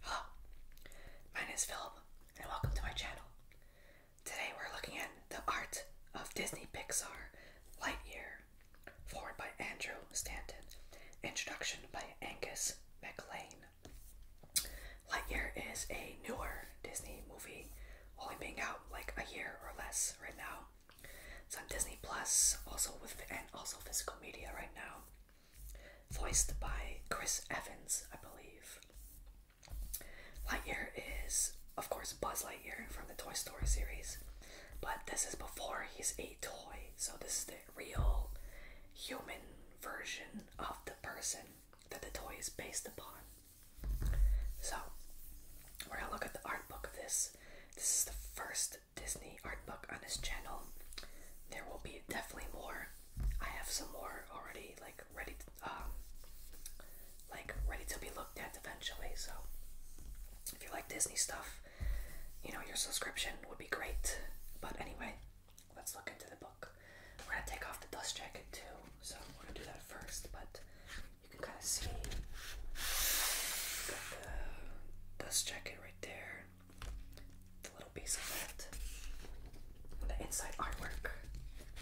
Hello, my name is Philip, and welcome to my channel. Today we're looking at the art of Disney Pixar Lightyear, forward by Andrew Stanton, introduction by Angus MacLean. Lightyear is a newer Disney movie, only being out like a year or less right now. It's on Disney Plus, also with and also physical media right now. Voiced by Chris Evans, I believe. Lightyear is, of course, Buzz Lightyear from the Toy Story series, but this is before he's a toy, so this is the real human version of the person that the toy is based upon. So, we're gonna look at the art book of this. This is the first Disney art book on this channel. There will be definitely more. I have some more already, like ready, um, like ready to be looked at eventually. So, if you like Disney stuff, you know your subscription would be great. But anyway, let's look into the book. We're gonna take off the dust jacket too, so we're gonna do that first. But you can kind of see got the dust jacket right there, the little piece of that, the inside artwork.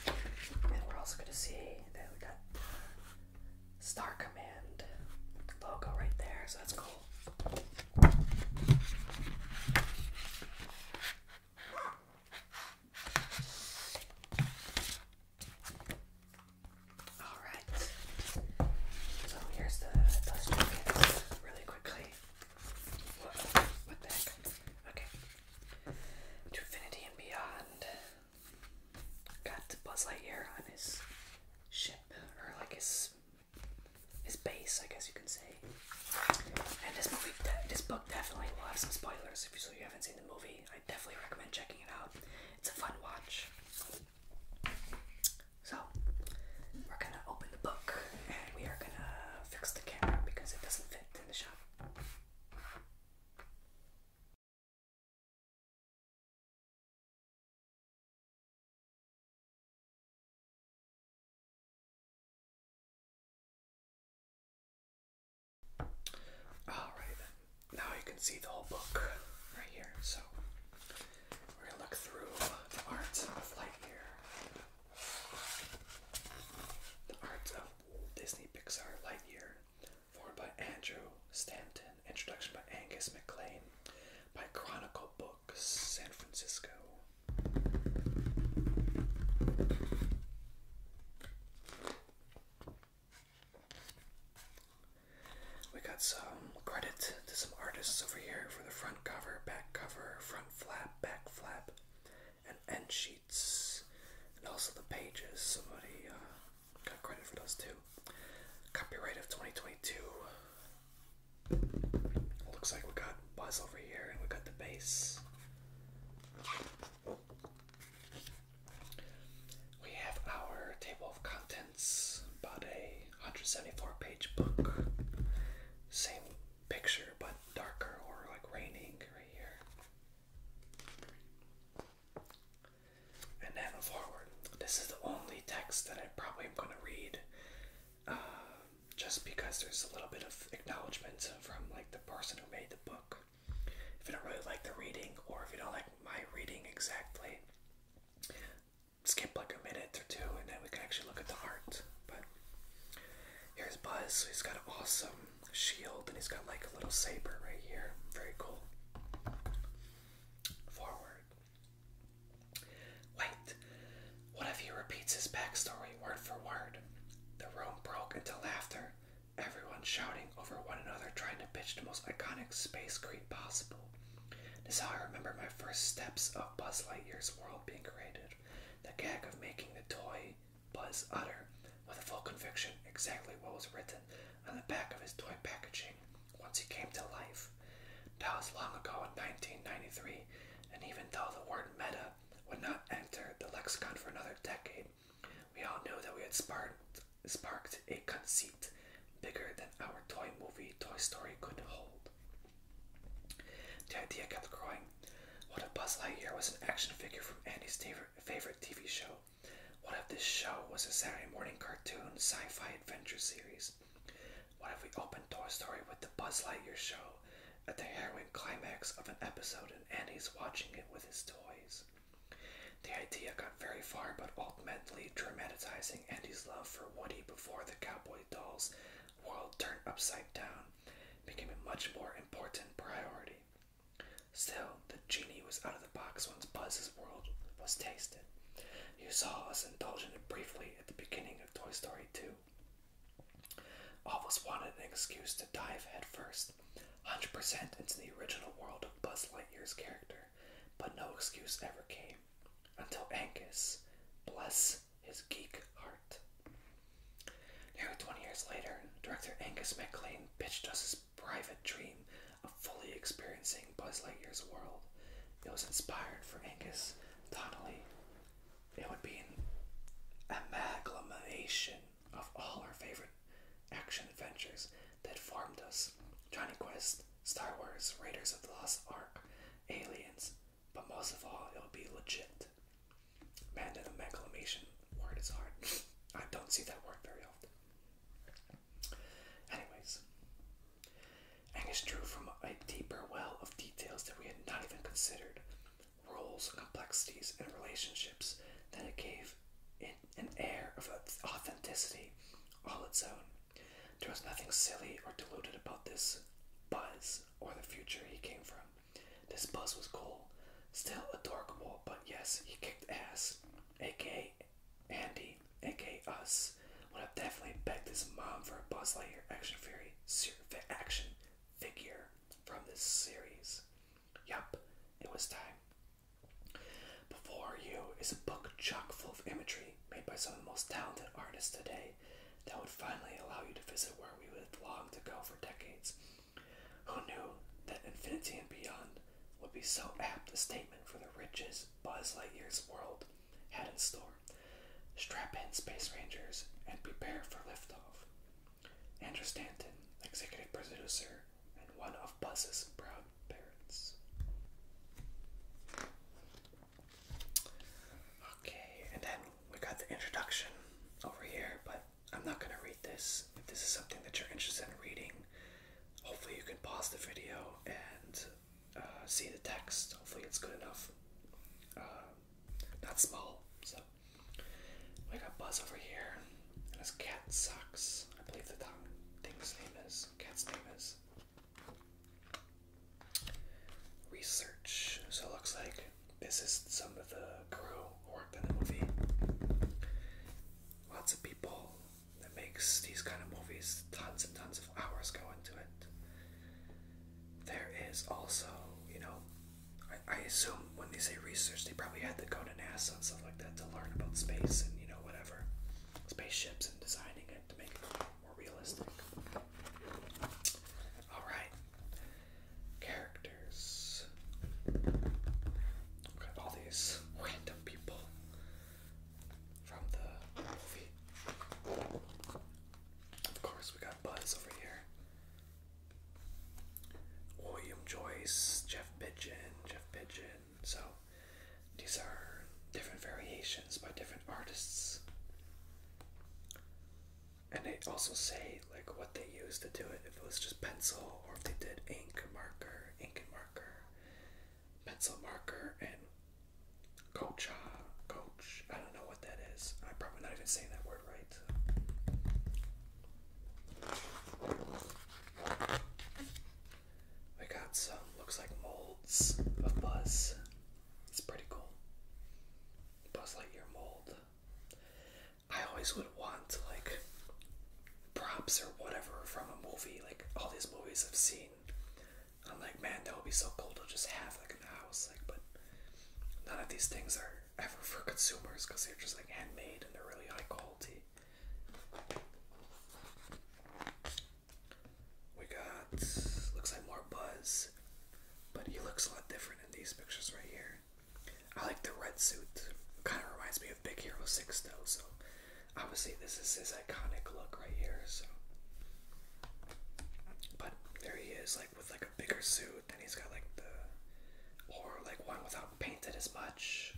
And we're also going to see that we got the Star Command logo right there, so that's cool. Alright. So here's the dust jackets really quickly. what the heck? Okay. To Infinity and Beyond. Got Buzz Lightyear on his ship, or like his his base, I guess you can say. And this movie, this book definitely will have some spoilers. If you, so you haven't seen the movie, I definitely recommend checking it out. It's a fun watch. So, we're gonna open the book and we are gonna fix the camera because it doesn't fit in the shot. Alright now you can see the whole book right here. So we're going to look through the art of Lightyear, the art of Disney Pixar Lightyear, formed by Andrew Stanton, introduction by Angus McLean, by Chronicle Books, San Francisco. We got some credit to some artists over here for the front cover, back cover, front flap, back flap, and end sheets, and also the pages. Somebody uh, got credit for those too. Copyright of 2022. Looks like we got Buzz over here, and we got the bass. We have our table of contents, about a 174 page book. Same picture, but darker or like raining right here. And then forward. This is the only text that I probably am going to read uh, just because there's a little bit of acknowledgement from like the person who made the book. If you don't really like the reading or if you don't like my reading exactly, skip like a minute or two and then we can actually look at the art. But here's Buzz. So he's got an awesome shield and he's got like a little saber right here. Very cool. Forward. Wait. What if he repeats his backstory word for word? The room broke into laughter, everyone shouting over one another, trying to pitch the most iconic space creed possible. This is how I remember my first steps of Buzz Lightyear's world being created. The gag of making the toy Buzz utter, with a full conviction, exactly what was written on the back of his toy packaging once he came to life. That was long ago in 1993, and even though the word meta would not enter the lexicon for another decade, we all knew that we had sparked sparked a conceit bigger than our toy movie Toy Story could hold. The idea kept growing. What if Buzz Lightyear was an action figure from Andy's favorite TV show? What if this show was a Saturday morning cartoon sci fi adventure series? What if we opened Toy Story with the Buzz Lightyear show at the harrowing climax of an episode and Andy's watching it with his toys? The idea got very far, but ultimately dramatizing Andy's love for Woody before the cowboy doll's world turned upside down became a much more important priority. Still, the genie was out of the box once Buzz's world was tasted. You saw us indulge in it briefly at the beginning of Toy Story 2. All wanted an excuse to dive headfirst, 100% into the original world of Buzz Lightyear's character but no excuse ever came until Angus, bless his geek heart. Nearly 20 years later, director Angus MacLean pitched us his private dream of fully experiencing Buzz Lightyear's world. It was inspired for Angus Donnelly. It would be an amalgamation of all our favorite action adventures that formed us Johnny Quest, Star Wars, Raiders of the Lost Ark, Aliens, but most of all, it'll be legit. Man, the exclamation word is hard. I don't see that word very often. Anyways, Angus drew from a deeper well of details that we had not even considered roles, complexities, and relationships that it gave in an air of authenticity all its own. There was nothing silly or deluded about this buzz or the future he came from. This buzz was cool, still adorable, but yes, he kicked ass, aka Andy, aka us. Would have definitely begged his mom for a Buzz Lightyear action fury action figure from this series. Yup, it was time. Before You is a book chock full of imagery made by some of the most talented artists today that would finally allow you to visit where we would long to go for decades. Who knew that infinity and beyond would be so apt a statement for the riches Buzz Lightyear's world had in store? Strap in, Space Rangers, and prepare for liftoff. Andrew Stanton, executive producer and one of Buzz's proud parents. Okay, and then we got the introduction over here, but I'm not gonna read this. If this is something that you're interested in reading, hopefully you can pause the video and uh, see the text. Hopefully it's good enough. Uh, not small, so. We got Buzz over here, and cat sucks. I believe the tongue thing's name is cat's cat's name is. Research. So it looks like this is some of the crew who worked on the movie. Lots of people that makes these kind of movies. Tons and tons of hours go into it. There is also, you know, I, I assume when they say research, they probably had to go to NASA and stuff like that to learn about space and you know whatever spaceships and designing it to make it more realistic. Alright. Characters. Look all these random people from the movie. Of course, we got Buzz over here. William Joyce, Jeff Pigeon, Jeff Pigeon, so these are different variations by different artists. And they also say like what they used to do it, if it was just pencil or if they did ink, marker, ink marker, pencil marker and coach uh, coach. I don't know what that is. I'm probably not even saying that word right. We got some, looks like molds of Buzz. It's pretty cool. Buzz Lightyear mold. I always would want, like, props or whatever from a movie. Like, all these movies I've seen. I'm like, man, that would be so cool to just have, like, in the house. Like, but none of these things are ever for consumers because they're just, like, handmade and they're really high quality. We got looks like more Buzz, but he looks a lot different in these pictures right here. I like the red suit. Kind of reminds me of Big Hero 6 though, so obviously this is his iconic look right here, so but there he is, like with like a bigger suit, and he's got like the or like one without painted as much.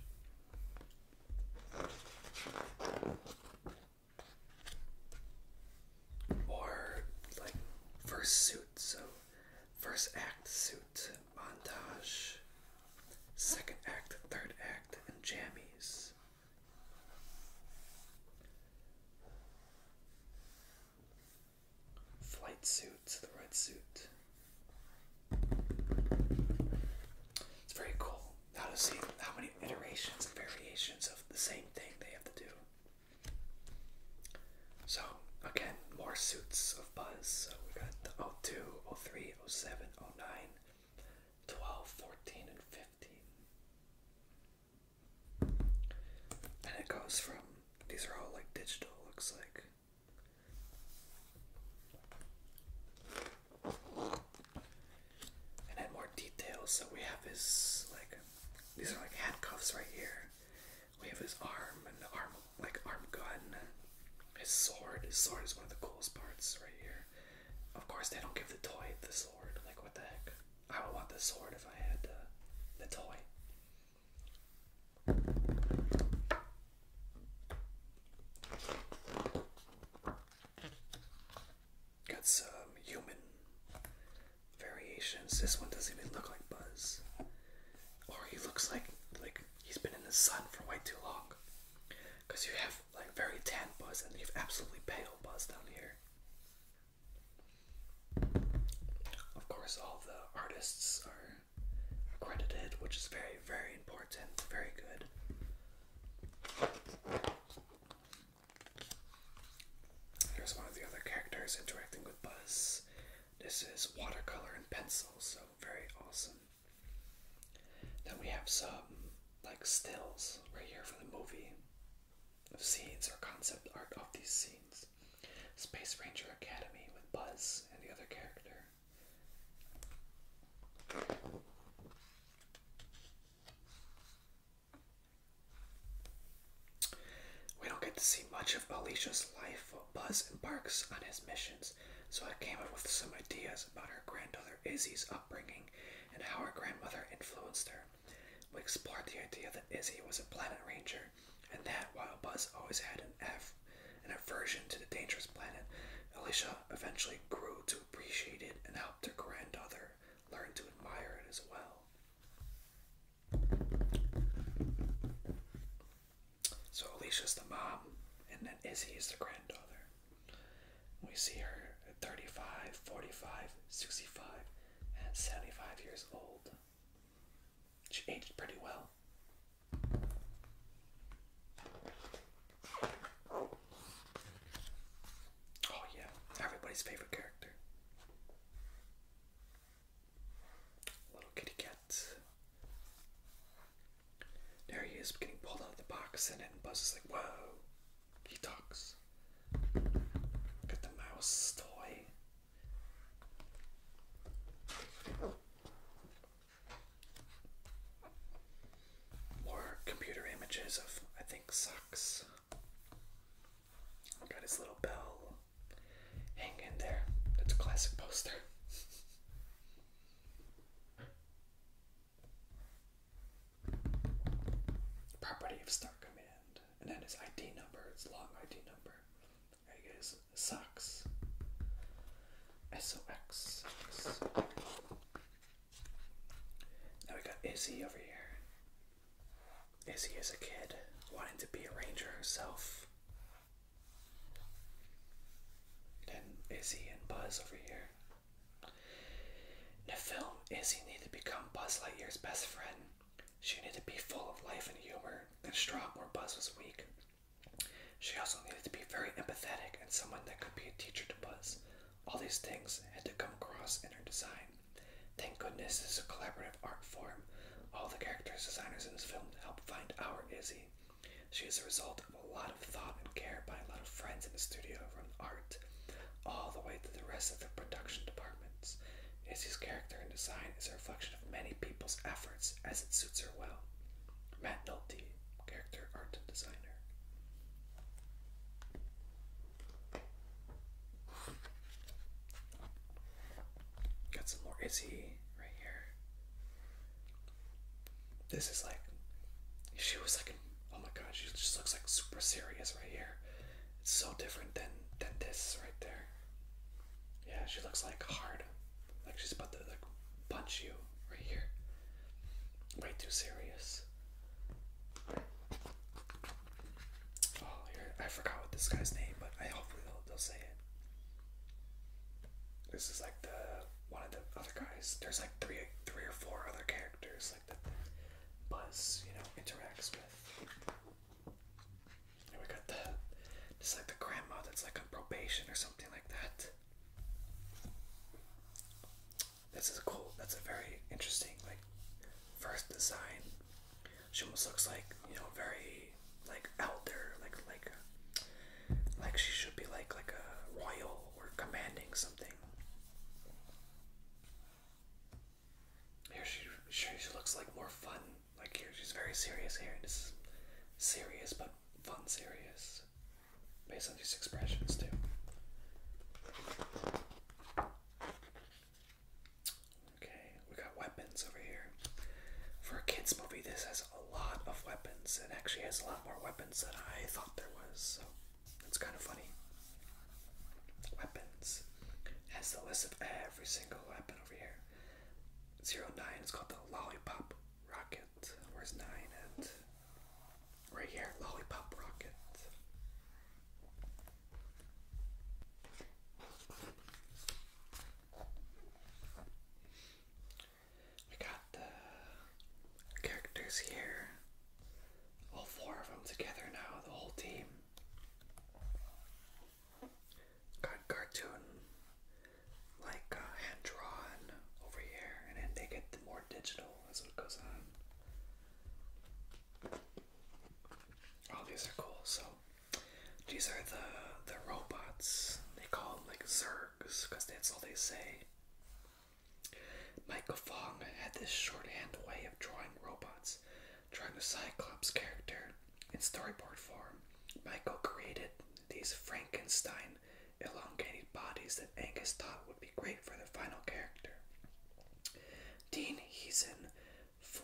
Or like first suit, so first act suit montage, second act, third act, and jammies. Flight suit, the red suit. It's very cool how to see how many iterations and variations of the same thing they have to do. So, again, more suits of Buzz. So we got the 02, 03, 07, 09, 12, 14, and 15. And it goes from, these are all like digital, looks like. And add more details. So we have his like these are like handcuffs right here. We have his arm and arm like arm gun. His sword. His sword is one of the coolest parts right here. Of course they don't give the toy the sword. Like what the heck? I would want the sword if I had uh, the toy. Got some human variations. This one doesn't even look like Buzz. Or he looks like like he's been in the sun for way too long. Cause you have like very tan Buzz and you have absolutely pale Buzz down here. Of course, all the artists are accredited, which is very, very important. Very good. Here's one of the other characters interacting with Buzz. This is watercolor and pencil, so very awesome. Then we have some like stills right here for the movie of scenes or concept art of these scenes. Space Ranger Academy with Buzz and the other character. We don't get to see much of Alicia's life while Buzz embarks on his missions, so I came up with some ideas about our granddaughter Izzy's upbringing and how our grandmother influenced her. We explored the idea that Izzy was a planet ranger, and that while Buzz always had an, av an aversion to the dangerous planet, Alicia eventually grew to appreciate it and helped her granddaughter learn to admire it as well. So Alicia's the mom, and then Izzy is the granddaughter. We see her at 35, 45, 65, and 75 years old. She aged pretty well. Oh, yeah, everybody's favorite character. Little kitty cat. There he is getting pulled out of the box, and then Buzz is like, Whoa, he talks. Got the mouse toy. More computer images of, I think, socks. Got his little bell hanging there. That's a classic poster. Property of Star Command. And then his ID number, his long ID number. There you guys, SOX. Now we got Izzy over here. Izzy is a kid wanting to be a ranger herself. Then Izzy and Buzz over here. the film, Izzy needed to become Buzz Lightyear's best friend. She needed to be full of life and humor and strong where Buzz was weak. She also needed to be very empathetic and someone that could be a teacher to Buzz. All these things had to come across in her design. Thank goodness this is a collaborative art form. All the characters, designers in this film helped find our Izzy. She is the result of a lot of thought and care by a lot of friends in the studio from art, all the way to the rest of the production departments. Izzy's character and design is a reflection of many people's efforts as it suits her well. Matt Nolte character art designer. Got some more Izzy right here. This is like, she was like, oh my god, she just looks like super serious right here. It's so different than than this right there. Yeah, she looks like hard, like she's about to like punch you right here way too serious. Oh, I forgot what this guy's name, but I hopefully they'll, they'll say it. This is like the one of the other guys. There's like three, three or four other characters like that Buzz, you know, interacts with. And we got the, just like the grandma that's like on probation or something like that. This is cool. That's a very interesting, like, first design. She almost looks like you know, very like out there, like like like she should be like like a royal or commanding something. Here she she looks like more fun. Like here she's very serious here. This is serious but fun serious based on these expressions too. Okay, we got weapons over here. For a kids movie, this has a lot of weapons. It actually has a lot more weapons than I thought there was, so it's kind of funny. Weapons has the list of every single weapon over here. Zero nine is called the lollipop rocket. Where's nine at? Right here, Lollipop rockets. We got the characters here. All four of them together now, the whole team. Got cartoon like uh, hand drawn over here, and then they get the more digital as it goes on. All these are cool. So these are the the robots. They call them like Zergs because that's all they say. Michael Fong had this shorthand way of drawing robots, drawing the Cyclops character in storyboard form. Michael created these Frankenstein elongated bodies that Angus thought would be great for the final character. Dean Heason,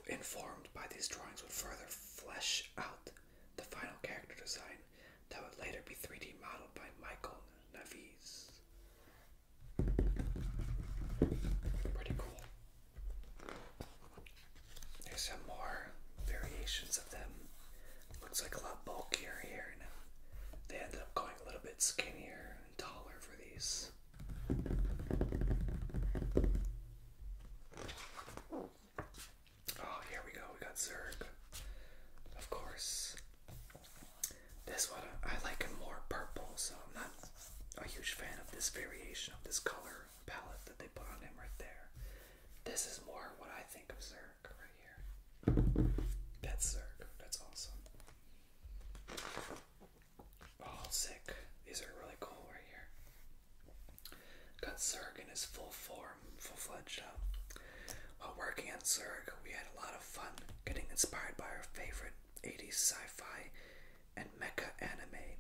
informed by these drawings, would further flesh out the final character design that would later be 3D modeled by Michael Navies. Pretty cool. There's some more variations of them Looks like a lot bulkier here now. They ended up going a little bit skinnier and taller for these. Oh, here we go. We got Zerg. Of course. This one, I like it more purple, so I'm not a huge fan of this variation of this color palette that they put on him right there. This is more what I think of Zerg right here. That's Zerg. That's awesome. Oh, sick. These are really cool right here. Got Zerg in his full form, full fledged up. While working on Zerg, we had a lot of fun getting inspired by our favorite 80s sci fi and mecha anime.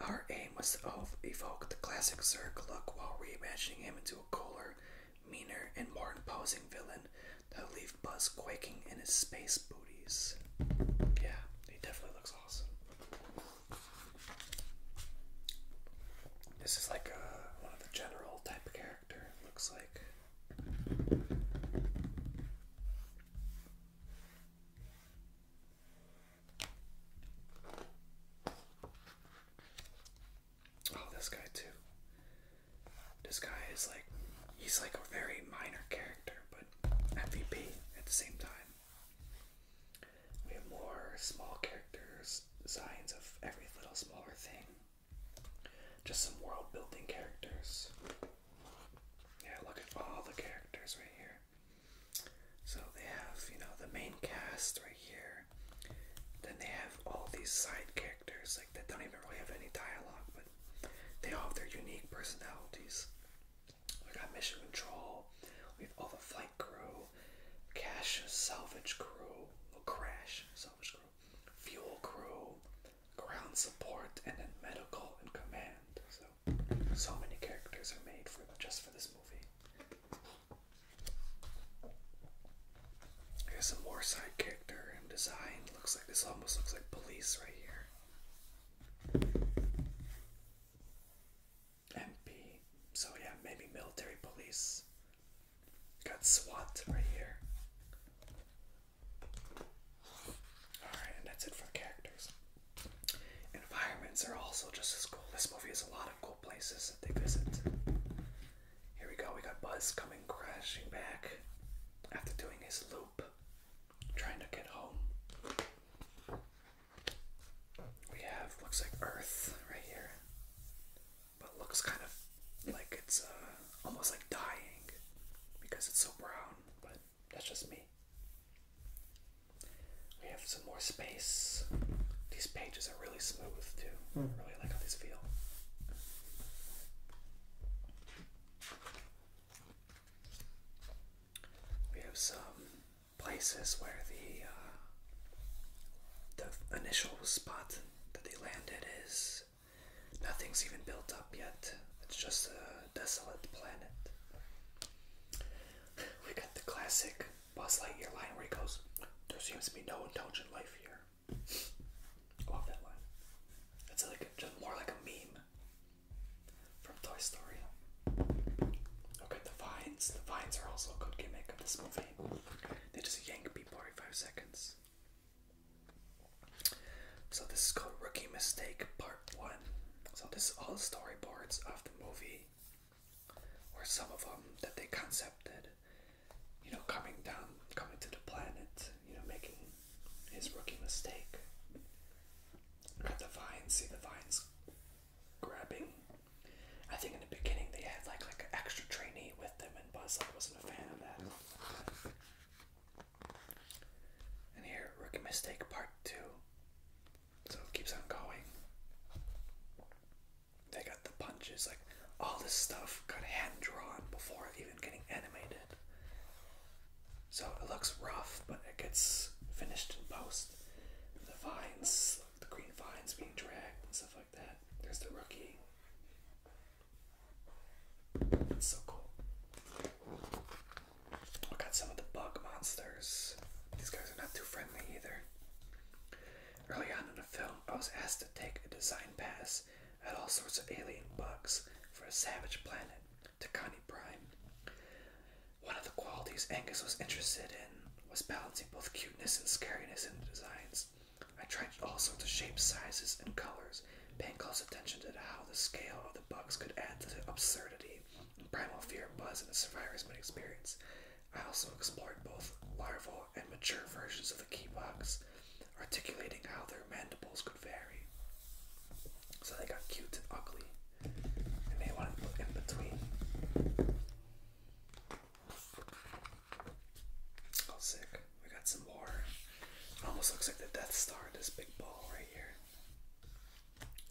Our aim was to evoke the classic Zerg look while reimagining him into a cooler, meaner, and more imposing villain that'll leave Buzz quaking in his space booties. Yeah, he definitely looks awesome. This is like a, uh, one of the general type of character, looks like. Oh, this guy too. This guy is like, he's like a very minor character, but MVP at the same time. We have more small characters, signs of every little smaller thing. Just some world building characters. Yeah, look at all the characters right here. So they have, you know, the main cast right here character. Then they have all these side characters, like that don't even really have any dialogue, but they all have their unique personalities. We got Mission Control, we have all the flight crew, cash salvage crew, crash salvage crew, fuel crew, ground support, and then medical and command. So so many characters are made for just for this movie. Here's some more side character and design. Looks like this almost looks like police right here. MP. So yeah, maybe military police. Got SWAT right here. Alright, and that's it for characters. Environments are also just as cool. This movie has a lot of cool places that they visit. Here we go, we got Buzz coming crashing back after doing his loop, trying to get home. We have, looks like Earth right here, but looks kind of like it's uh, almost like dying because it's so brown, but that's just me. We have some more space. These pages really smooth too. Hmm. really like how these feel. We have some places where the uh, the initial spot that they landed is nothing's even built up yet. It's just a desolate planet. We got the classic Buzz Lightyear line where he goes, "There seems to be no intelligent life here." love that line. It's like just more like a meme from Toy Story. Okay, the vines. The vines are also a good gimmick of this movie. They just yank people every five seconds. So this is called Rookie Mistake Part 1. So this is all storyboards of the movie. Or some of them that they concepted you know, coming down, coming to the planet, you know, making his rookie mistake. Got the vines, see the vines grabbing. I think in the beginning they had like like extra trainee with them, and Buzz like wasn't a fan of that. And here, rookie mistake part two. So it keeps on going. They got the punches, like all this stuff got hand drawn before even getting animated. So it looks rough, but it gets finished in post. The vines, the green vines being dragged and stuff like that. There's the rookie. It's so cool. I got some of the bug monsters. These guys are not too friendly either. Early on in the film, I was asked to take a design pass at all sorts of alien bugs for a savage planet, Takani Prime. One of the qualities Angus was interested in was balancing both cuteness and scariness in the designs. I tried all sorts of shapes, sizes, and colors, paying close attention to how the scale of the bugs could add to the absurdity and primal fear buzz in the survivor's experience. I also explored both larval and mature versions of the key keybox, articulating how their mandibles could vary. So they got cute and ugly, and they wanted to look in between. Oh, sick. We got some more. almost looks like the Death Star, this big ball right here.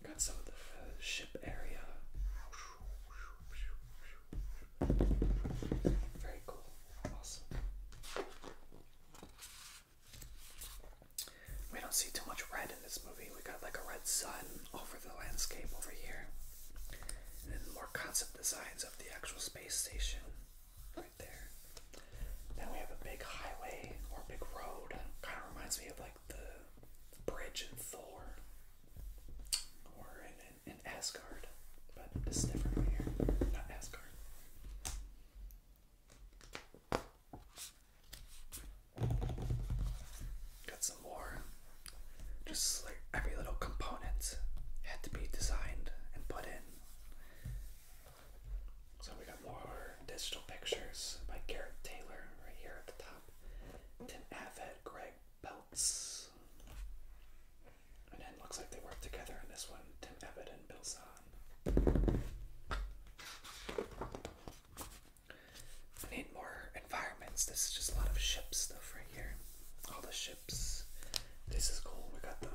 Got some of the uh, ship area. Very cool. Awesome. We don't see too much red in this movie. We got like a red sun over the landscape over here. And more concept designs of the actual space station right there. Then we have a big highway or big road. Kind of reminds me of like the bridge in Thor or in in Asgard, but this is different right here. Not Asgard. Got some more. Just like every little component had to be designed and put in. So we got more digital pictures by Garrett Taylor right here at the top. Tim Avett, Greg Bell and then looks like they work together in this one, Tim Evatt and Bill Zahn. I need more environments. This is just a lot of ship stuff right here. All the ships. This is cool. We got the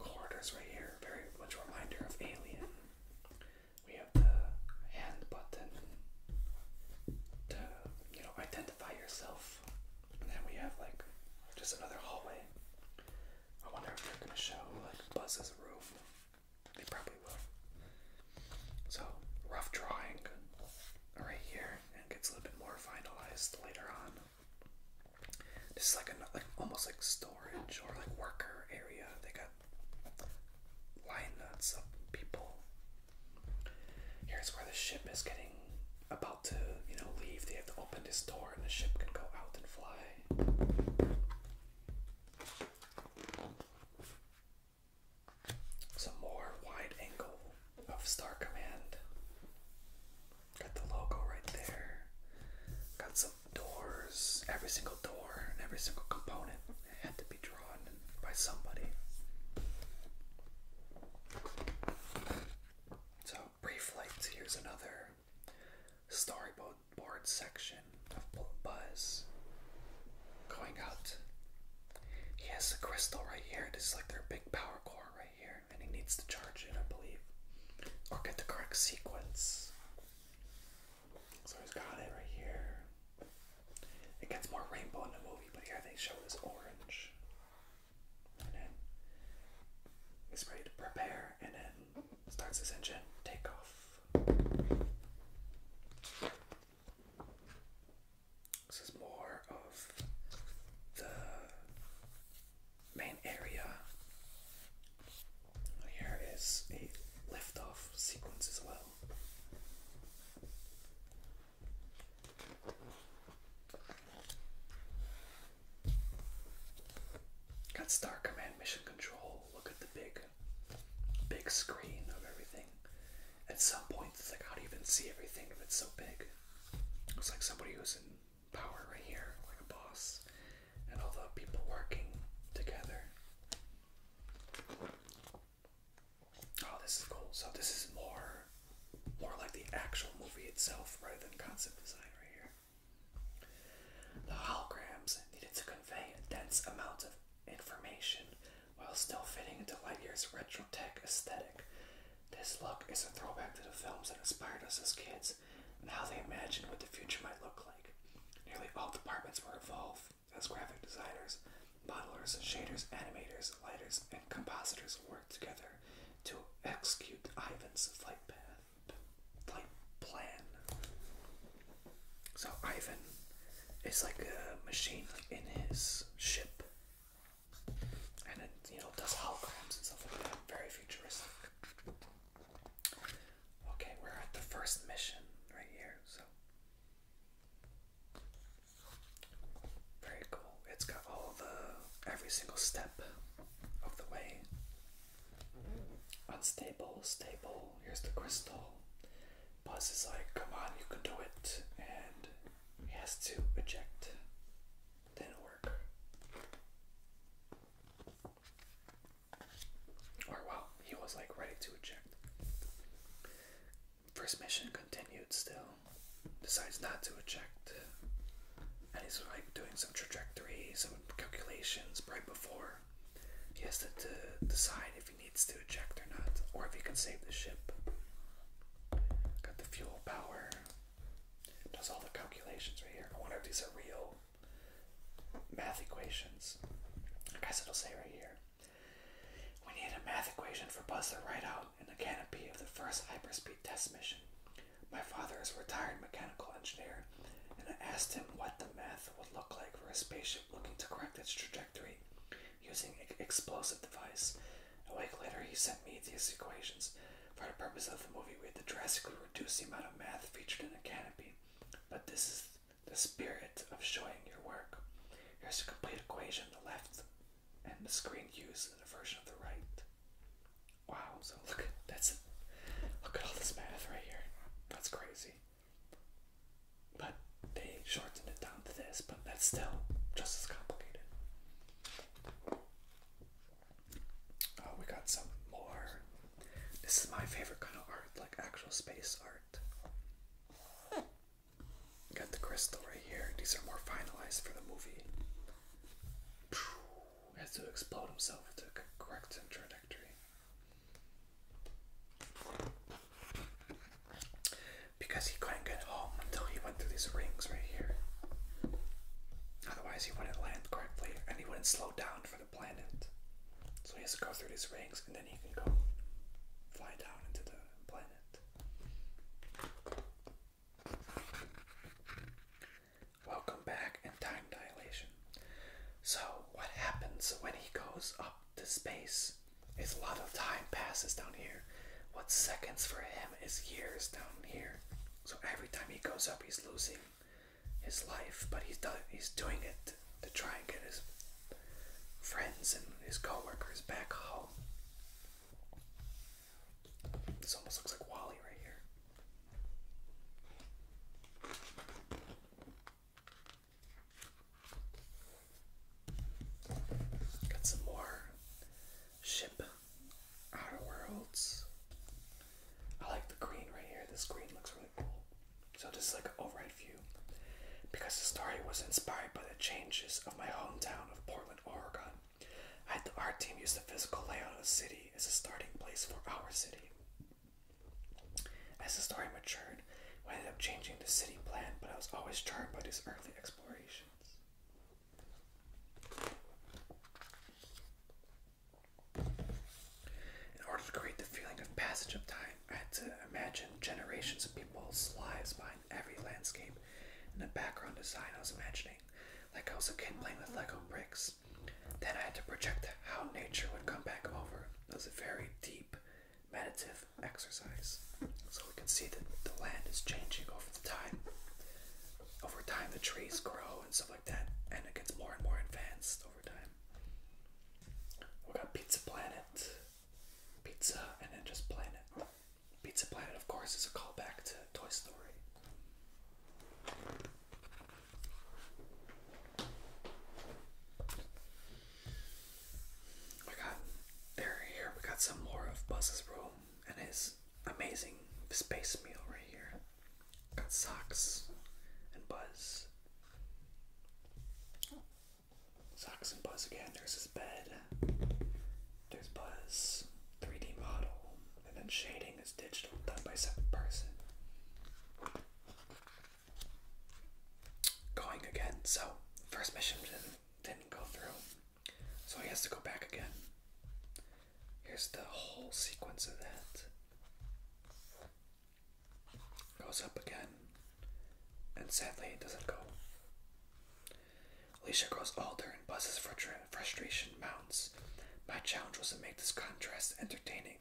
corridors right here. Very much reminder of Alien. We have the hand button to you know identify yourself. And then we have like just another hallway. I wonder if they're gonna show like Buzz's room. They probably will. So rough drawing right here, and gets a little bit more finalized later on. This is like a like almost like storage or like worker area. They got lineups of people Here's where the ship is getting about to, you know, leave. They have to open this door and the ship can go out and fly. Some more wide angle of Star Command. Got the logo right there. Got some doors. Every single door and every single component had to be drawn by somebody. So, brief lights, here's another storyboard section of Buzz going out. He has a crystal right here. This is like their big power core right here, and he needs to charge it, I believe, or get the correct sequence. So he's got it right here. It gets more rainbow in the movie, but here they show it as orange and then it's ready to prepare and then starts its engine take off. This is more of the main area. Here is a liftoff sequence as well. Got Star Command Mission Control. Look at the big, big screen of everything. At some point, it's like, how do you even see everything if it's so big? It's like somebody who's in power right here, like a boss, and all the people working together. Oh, this is cool. So this is more more like the actual movie itself rather than concept design right here. The holograms needed to convey a dense amount of information while still fitting into Lightyear's retro tech aesthetic. This look is a throwback to the films that inspired us as kids and how they imagined what the future might look like. Nearly all departments were involved as graphic designers, Modelers, shaders, animators, lighters, and compositors work together to execute Ivan's flight path, flight plan. So Ivan is like a machine in his ship, and it you know does holograms and stuff like that. Very futuristic. Okay, we're at the first mission right here. So very cool. It's got all the every single step of the way. Unstable, stable. Here's the crystal. Buzz is like, come on, you can do it. And he has to eject. Didn't work. Or, well, he was like ready to eject. First mission continued still. Decides not to eject. And he's like doing some trajectory, some calculations right before. He has to, to decide if he needs to eject or not, or if he can save the ship. Got the fuel power. Does all the calculations right here. I wonder if these are real math equations. I guess it'll say right here. We need a math equation for Buzz the Rideout in the canopy of the first hyperspeed test mission. My father is a retired mechanical engineer, and I asked him what the math would look like for a spaceship looking to correct its trajectory using an explosive device. A week later, he sent me these equations. For the purpose of the movie, we had to drastically reduce the amount of math featured in the canopy, but this is the spirit of showing your work. Here's the complete equation. on The left and the screen used the version of the right. Wow, so look that's look at all this math right here. That's crazy. But they shortened it down to this, but that's still just as complicated. Oh, we got some more. This is my favorite kind of art, like actual space art. Got the crystal right here. These are more finalized for the movie. Has to explode himself with correct trajectory. Because he couldn't get home until he went through these rings right here. Otherwise, he wouldn't land correctly and he wouldn't slow down for the planet. So he has to go through these rings and then he can go fly down into the planet. Welcome back in Time Dilation. So, what happens when he goes up to space? a lot of time passes down here. What seconds for him is years down here. So every time he goes up, he's losing his life, but he's doing it to try and get his friends and his coworkers back home. This almost looks like Wally right here. Got some more ship outer worlds. I like the green right here. This green looks really cool. So this is like an overhead view. Because the story was inspired by the changes of my hometown of Portland, Portland, Oregon. The art team used the physical layout of the city as a starting place for our city. As the story matured, I ended up changing the city plan, but I was always charmed by these early explorations. In order to create the feeling of passage of time, I had to imagine generations of people's lives every landscape, and the background design I was imagining, like I was a kid playing with Lego bricks. Then I had to project how nature would come back over. It was a very deep, meditative exercise. So we can see that the land is changing over time. Over time, the trees grow and stuff like that, and it gets more and more advanced over time. We got Pizza Planet, pizza, and then just planet. Pizza Planet, of course, is a callback to Toy Story. We got there here. We got some more of Buzz's room and his amazing space meal right here. Got socks and Buzz. Socks and Buzz again. There's his bed. There's Buzz. 3D model. And then shading is digital, done by second person. Going again. So, first mission didn't go through. So he has to go back again. Here's the whole sequence of that. Goes up again. And sadly, it doesn't go. Alicia grows older and Buzz's frustration mounts. My challenge was to make this contrast entertaining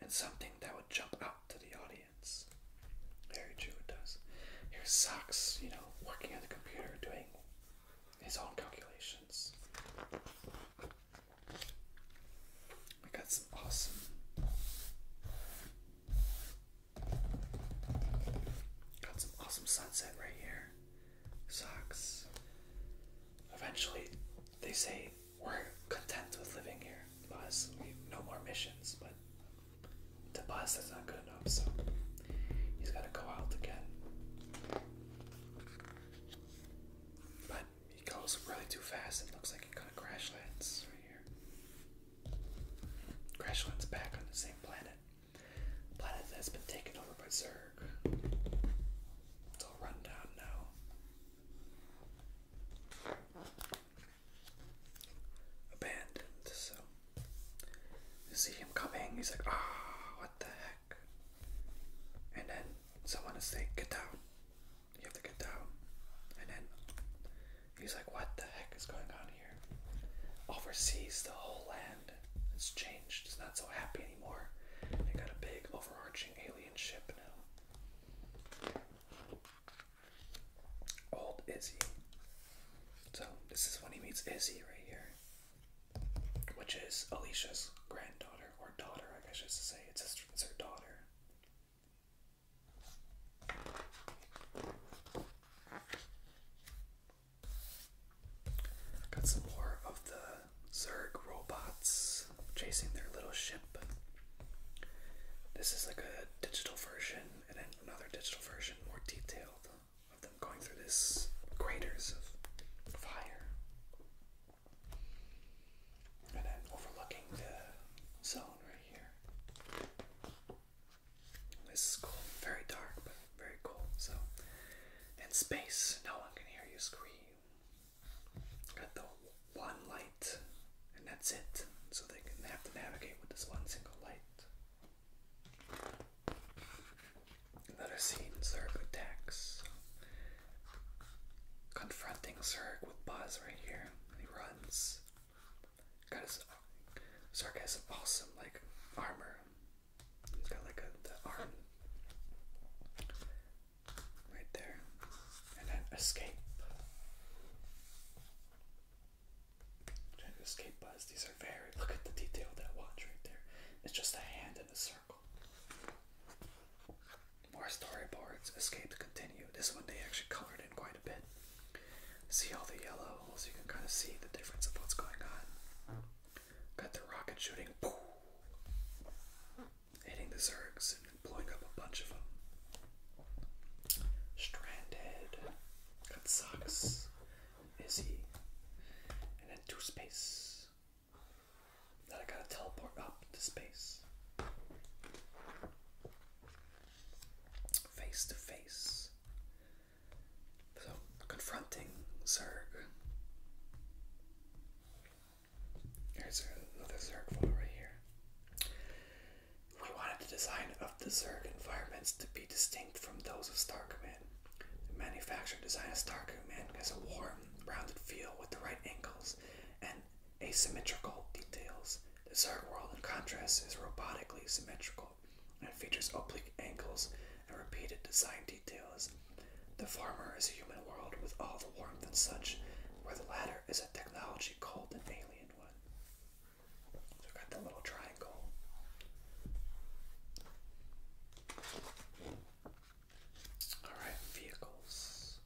and something that would jump out to the audience. Very true, it does. Here's Sachs, you know, working on the computer, doing his own calculations. We got some awesome Got some awesome sunset right here. Socks. Eventually, they say we're content with living here. Buzz, we no more missions, but the Buzz is not good enough. So he's gotta go out again. But he goes really too fast. It looks like he's gonna crash lands right here. Crash lands back on the same planet planet that's been taken over by Zerg. It's all run now. Abandoned, so. You see him coming, he's like, ah, what the heck? And then someone is saying, get down. You have to get down. And then He's like, what the heck is going on here? Oversees the whole land. It's changed. It's not so happy anymore. They got a big overarching alien ship now. Old Izzy. So this is when he meets Izzy right here. Which is Alicia's granddaughter, or daughter, I guess I should say. It's, his, it's her daughter. Got some more of the Zerg robots chasing their little ship. This is like a digital version and then another digital version, more detailed, of them going through this craters of fire. And then overlooking the zone right here. This is cool. Very dark, but very cool. So, in space, no one can hear you scream. Got the one light, and that's it. So they can have to navigate with this one single light. Another scene: Zerg attacks. Confronting Zerg with Buzz right here, and he runs. Got his Sark has some awesome like armor. He's got like a the arm right there, and then escape. trying to escape buzz. These are very. Look at the detail of that watch right there. It's just a hand in a circle. More storyboards. Escape continue. This one they actually colored in quite a bit. See all the yellow holes, you can kind of see the difference of what's going on. Got the rocket shooting, hitting the Zergs and blowing up a bunch of them. Stranded, got Socks, Izzy, and then to space. Then I gotta teleport up to space. Face to face so, confronting Zerg. Here's another Zerg photo right here. We wanted the design of the Zerg environments to be distinct from those of Star Command. The manufacturer designed Star Command has a warm, rounded feel with the right angles and asymmetrical details. The Zerg world, in contrast, is robotically symmetrical and it features oblique angles and repeated design details. The former is a human world with all the warmth and such, where the latter is a technology called an alien one. we got the little triangle. Alright, vehicles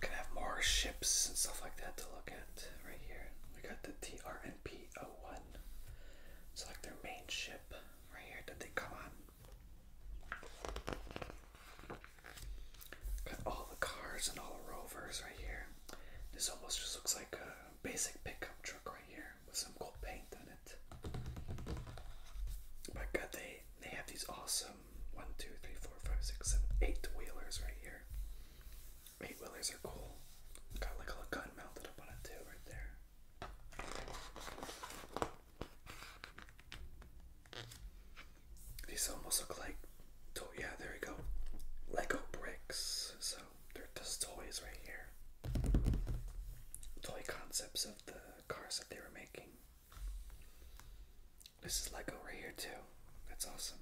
going have more ships and stuff like that to look at right here. We got the TRNP-01. It's like their main ship right here that they come on. Got all the cars and all the rovers right here. This almost just looks like a basic pickup truck right here with some cool paint on it. But God, they they have these awesome one, two, three, four, five, six, seven, eight wheelers right here. Eight wheelers are cool. Got like a gun mounted up on it too, right there. These almost look like, oh yeah, there we go, Lego bricks. So they're just toys right here. Toy concepts of the cars that they were making. This is Lego right here too. That's awesome.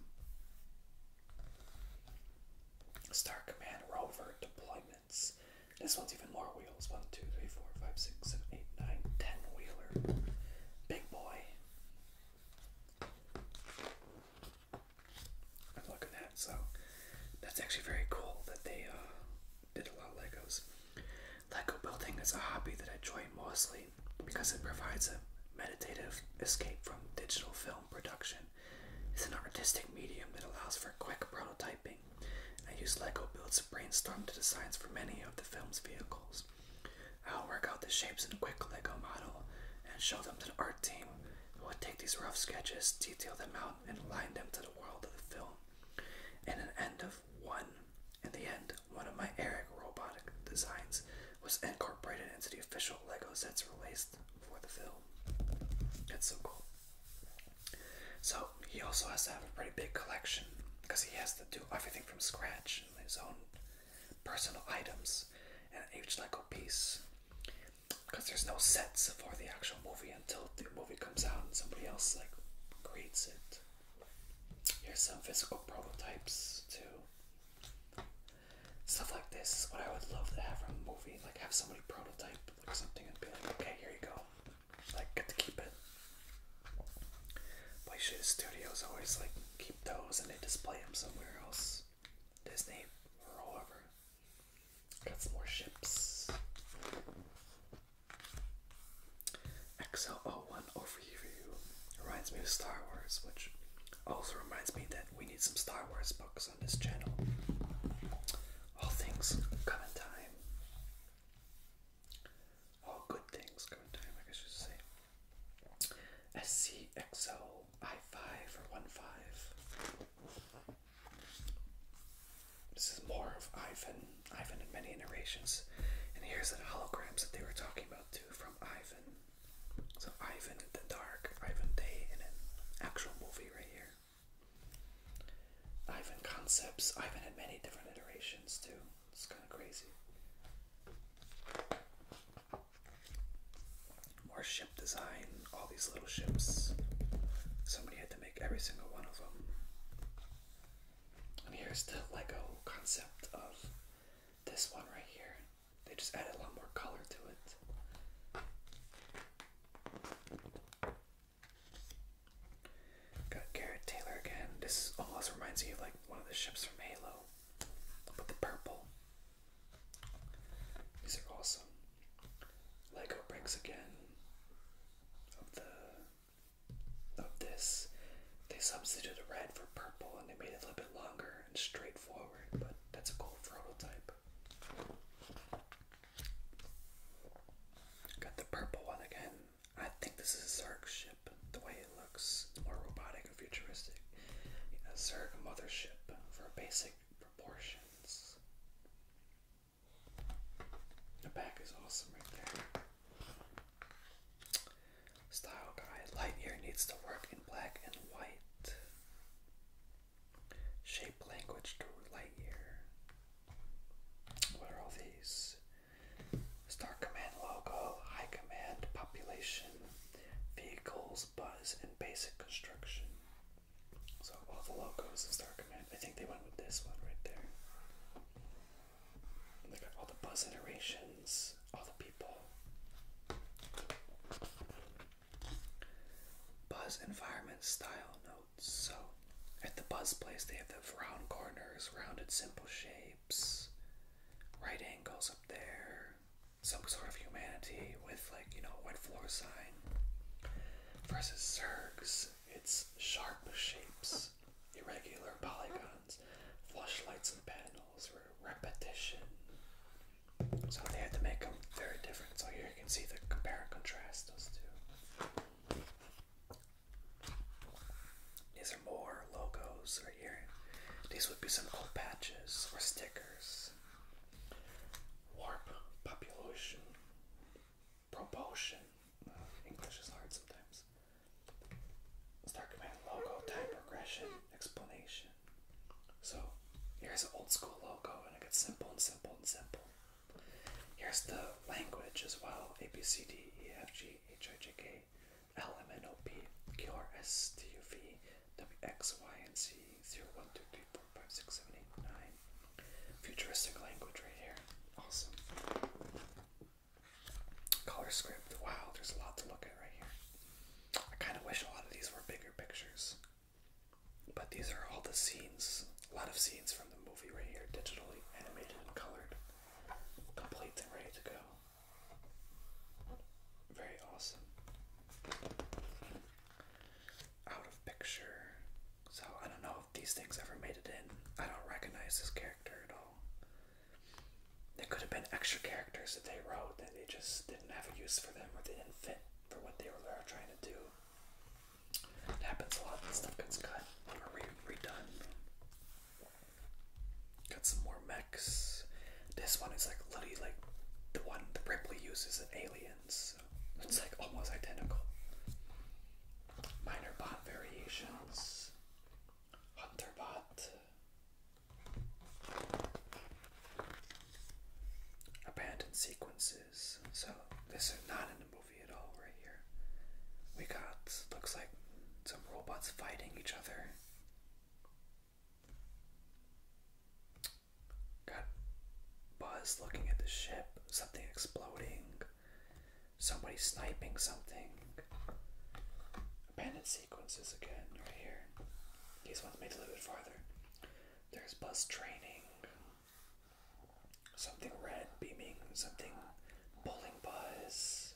Star Command Rover deployments. This one's even more wheels. One, two, three, four, five, six, seven, eight, nine, ten 2, Big boy. I'm looking so that's actually very cool that they uh, did a lot Legos. Lego building is a hobby that I join mostly because it provides a meditative escape from digital film production. It's an artistic medium that allows for quick prototyping. I use Lego builds to brainstorm the designs for many of the film's vehicles. I'll work out the shapes in a quick Lego model and show them to the art team, who will take these rough sketches, detail them out, and align them to the world of the film. In an end of one, in the end, one of my Eric robotic designs was incorporated into the official Lego sets released for the film. That's so cool. So he also has to have a pretty big collection because he has to do everything from scratch and his own personal items and each Lego piece. Because there's no sets for the actual movie until the movie comes out and somebody else like creates it. Here's some physical prototypes too. Stuff like this what I would love to have from a movie. Like have somebody prototype like something and be like, okay, here you go. Like get to keep it. Play shit studios always like keep those and they display them somewhere else. Disney or however. Got some more ships. XL01 overview reminds me of Star Wars, which also reminds me that we need some Star Wars books on this channel. All things come in time. All good things come in time, I guess you should say. XO I5 or five. This is more of Ivan Ivan in many iterations. And here's the holograms that they were talking about too from Ivan. So Ivan in the dark, Ivan Day in an actual movie right here. Ivan concepts, Ivan in many different iterations too. It's kind of crazy. More ship design, all these little ships. Somebody had to make every single one of them. And here's the Lego concept of this one right here. They just added a lot more color to it. Got Garrett Taylor again. This almost reminds me of like one of the ships from Halo, but the purple. These are awesome. Lego bricks again of the of this, they substituted red for purple and they made it a little bit longer and straightforward, but that's a cool prototype. Got the purple one again. I think this is a Zerg ship, the way it looks. more robotic and futuristic. A Zerg mothership for basic proportions. The back is awesome right there. Style guide. Lightyear needs to work in black and white. Shape language to Lightyear. What are all these? Star Command logo, High Command, population, vehicles, buzz, and basic construction. So all the logos of Star Command. I think they went with this one right there. Look oh at all the buzz iterations, all the people. Buzz environment style notes. So at the buzz place, they have the round corners, rounded simple shapes, right angles up there, some sort of humanity with like, you know, wet floor sign. Versus Zerg's, it's sharp shapes, irregular polygons flashlights and panels were repetition. So they had to make them very different. So here you can see the compare and contrast those two. These are more logos right here. These would be some cool patches or stickers. Warp, population, propulsion. English is hard sometimes. Star Command logo, time progression, explanation. So here's an old school logo, and it gets simple and simple and simple. Here's the language as well: A B C D E F G H I J K L M N O P Q R S T U V W X Y and Z 0 1 Futuristic language right here. Awesome. Color script. Wow, there's a lot to look at right here. I kind of wish a lot of these were bigger pictures. But these are all the scenes, a lot of scenes from the movie right here, digitally animated and colored, complete and ready to go. Very awesome. Out of picture. So I don't know if these things ever made it in. I don't recognize this character at all. There could have been extra characters that they wrote that they just didn't have a use for them or they didn't fit for what they were trying to do. It happens a lot that stuff gets cut or re redone. Got some more mechs. This one is like literally like the one that Ripley uses in Aliens. It's like almost identical. Minor bot variations. Hunterbot. Abandoned sequences. So this is not in the movie at all right here. We got looks like some robots fighting each other. Got Buzz looking at the ship, something exploding somebody sniping something. Abandoned sequences again, right here. These ones made a little bit farther. There's bus training. Something red beaming, something pulling buzz.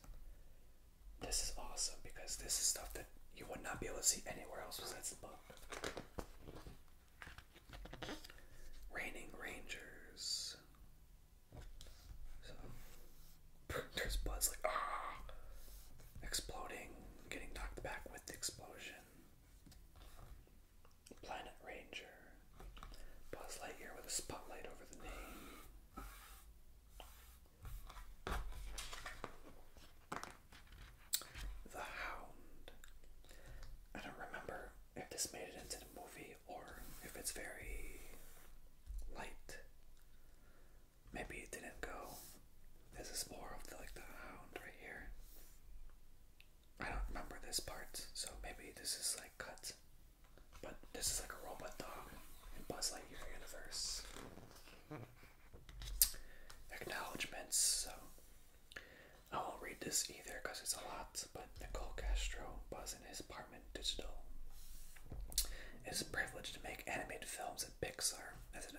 This is awesome because this is stuff that you would not be able to see anywhere else besides the book. Raining Rangers. So there's Buzz like ah exploding, getting knocked back with the explosion. Planet Ranger. Buzz Lightyear with a spotlight over the name. The Hound. I don't remember if this made it into the movie or if it's very light. Maybe it didn't go. This is more of like the hound right here. I don't remember this part, so maybe this is like cut. But this is like a robot dog in Buzz Lightyear universe. Acknowledgements. So I won't read this either because it's a lot. But Nicole Castro, Buzz in his apartment digital. It is a privilege to make animated films at Pixar, as,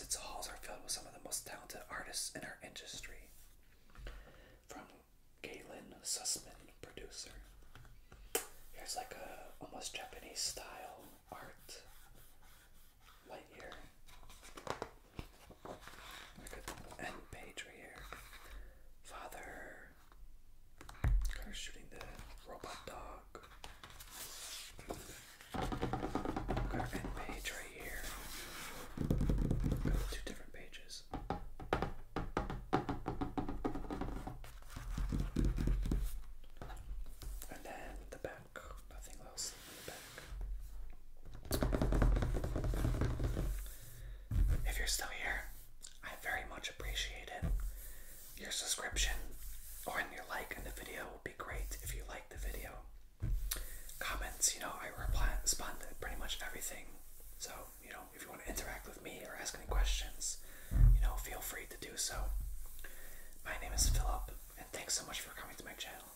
its halls are filled with some of the most talented artists in our industry. From Galen Sussman, producer. Here's like a almost Japanese style art. Lightyear. Like an end page right here. Father Kind of shooting the robot dog. Got our end page right here. Got two different pages. And then the back. Nothing else in the back. If you're still here, I very much appreciate it. Your subscription or your like on the video would be great if you like the video. Comments, you know, I respond to pretty much everything. So, you know, if you want to interact with me or ask any questions, you know, feel free to do so. My name is Philip, and thanks so much for coming to my channel.